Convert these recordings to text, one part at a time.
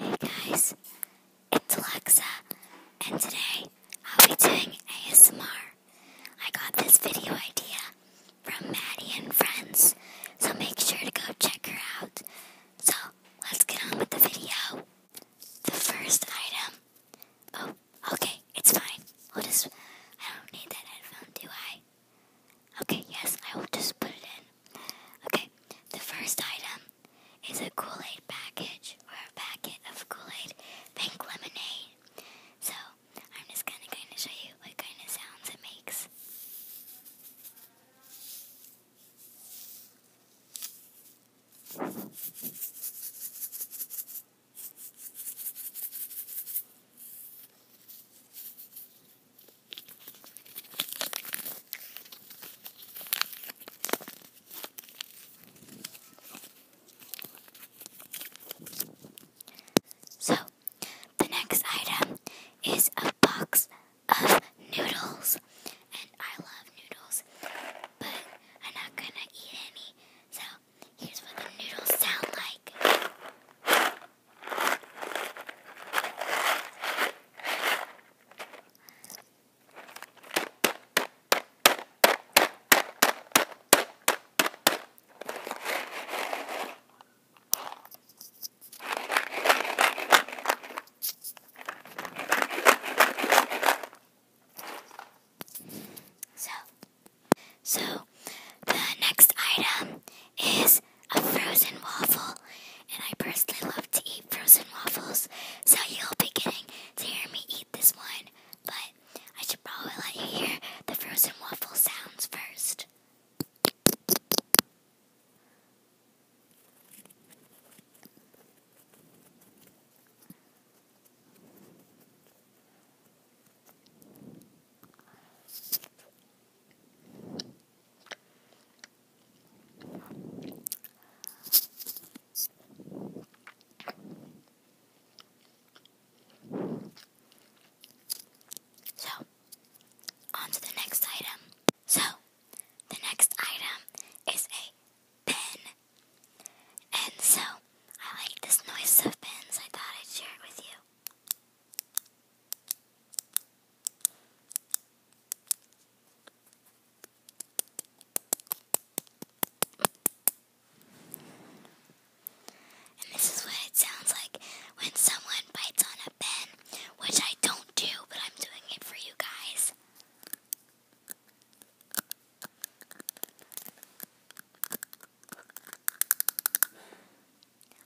Hey guys, it's Alexa, and today I'll be doing ASMR. I got this video idea from Maddie and friends, so make sure to go check her out. So, let's get on with the video. The first item. Oh, okay, it's fine. We'll just. I don't need that headphone, do I? Okay, yes, I will just put it in. Okay, the first item is a Kool Aid package or a packet of Kool Aid pink lemonade. So, I'm just gonna kind of show you what kind of sounds it makes. So, the next item is a box of noodles. And I love noodles, but I'm not gonna eat any. So, here's what the noodles sound like. So, so, the next item is a frozen waffle, and I personally love to eat frozen waffles, so you'll be getting to hear me eat this one, but I should probably let you hear the frozen waffle sounds first. So, on to the next item. So, the next item is a pen. And so, I like this noise of pins. I thought I'd share it with you. And this is what it sounds like when someone bites on a pen, which I don't do, but I'm doing it for you guys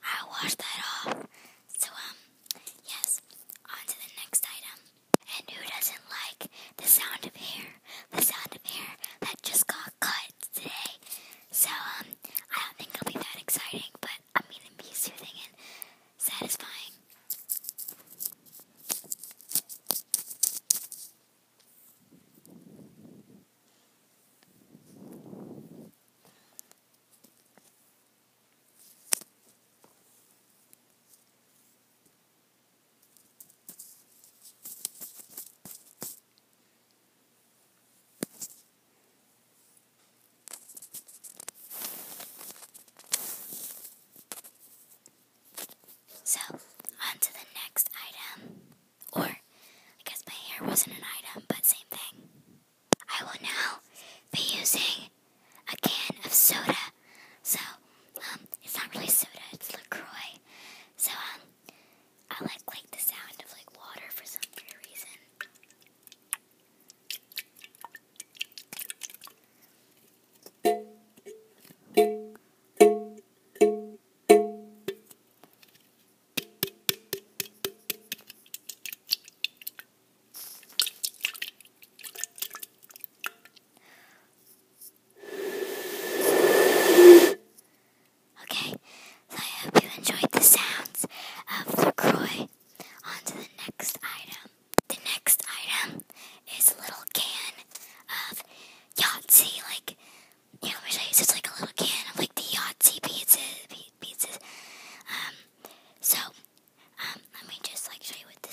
i washed that off. So, um, yes, on to the next item. And who doesn't like the sound of hair? The sound of hair that just got cut today. So, um, I don't think it'll be that exciting, but I'm gonna be soothing and satisfying. So, on to the next item. Or, I guess my hair wasn't an item, but same thing. I will now be using a can of soda. So, um, it's not really soda, it's LaCroix. So, um, I like, like the sound of like water for some weird reason. Okay, so I hope you enjoyed the sounds of LaCroix on the next item. The next item is a little can of Yahtzee. Like, you know, let me show you. It's like a little can of like the Yahtzee pizza, pizzas. Um, so, um, let me just like show you what the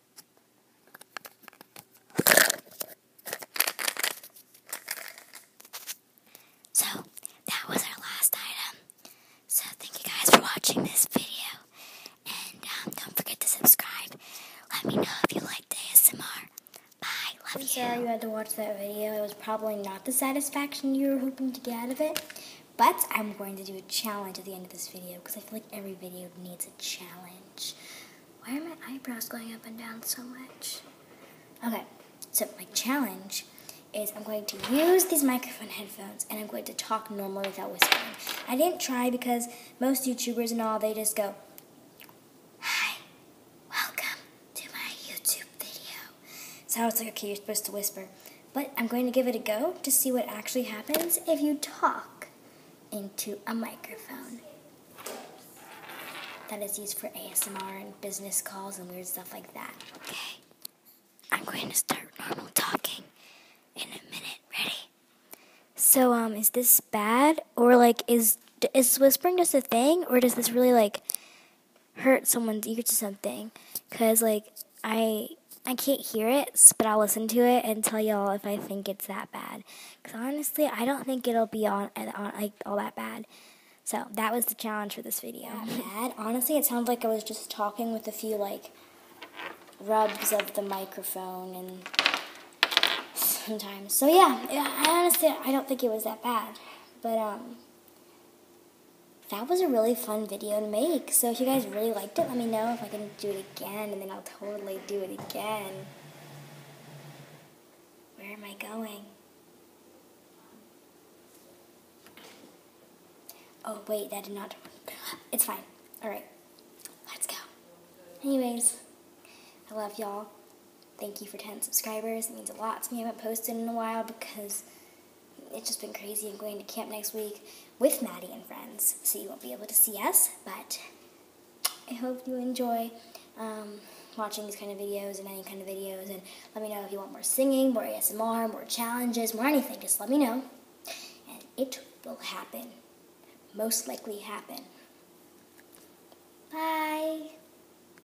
So, that was our last item. So, thank you guys for watching this video. And um, don't forget to subscribe. Let me know if you liked the ASMR. Bye. Love you. sorry you had to watch that video. It was probably not the satisfaction you were hoping to get out of it. But I'm going to do a challenge at the end of this video because I feel like every video needs a challenge. Why are my eyebrows going up and down so much? Okay, so my challenge is I'm going to use these microphone headphones and I'm going to talk normally without whispering. I didn't try because most YouTubers and all, they just go, Hi, welcome to my YouTube video. So I like, okay, you're supposed to whisper but I'm going to give it a go to see what actually happens if you talk into a microphone. That is used for ASMR and business calls and weird stuff like that. Okay. I'm going to start normal talking in a minute. Ready? So, um, is this bad? Or, like, is, is whispering just a thing? Or does this really, like, hurt someone's ears or something. Cause like I I can't hear it, but I'll listen to it and tell y'all if I think it's that bad. Cause honestly, I don't think it'll be on, on like all that bad. So that was the challenge for this video. Bad. Honestly, it sounds like I was just talking with a few like rubs of the microphone and sometimes. So yeah, I honestly I don't think it was that bad, but um, that was a really fun video to make. So if you guys really liked it, let me know if I can do it again, and then I'll totally do it again. Where am I going? Oh, wait, that did not. It's fine. All right, let's go. Anyways, I love y'all. Thank you for 10 subscribers. It means a lot to me. I haven't posted in a while because it's just been crazy. I'm going to camp next week with Maddie and friends, so you won't be able to see us, but I hope you enjoy um, watching these kind of videos and any kind of videos, and let me know if you want more singing, more ASMR, more challenges, more anything. Just let me know, and it will happen. Most likely happen. Bye.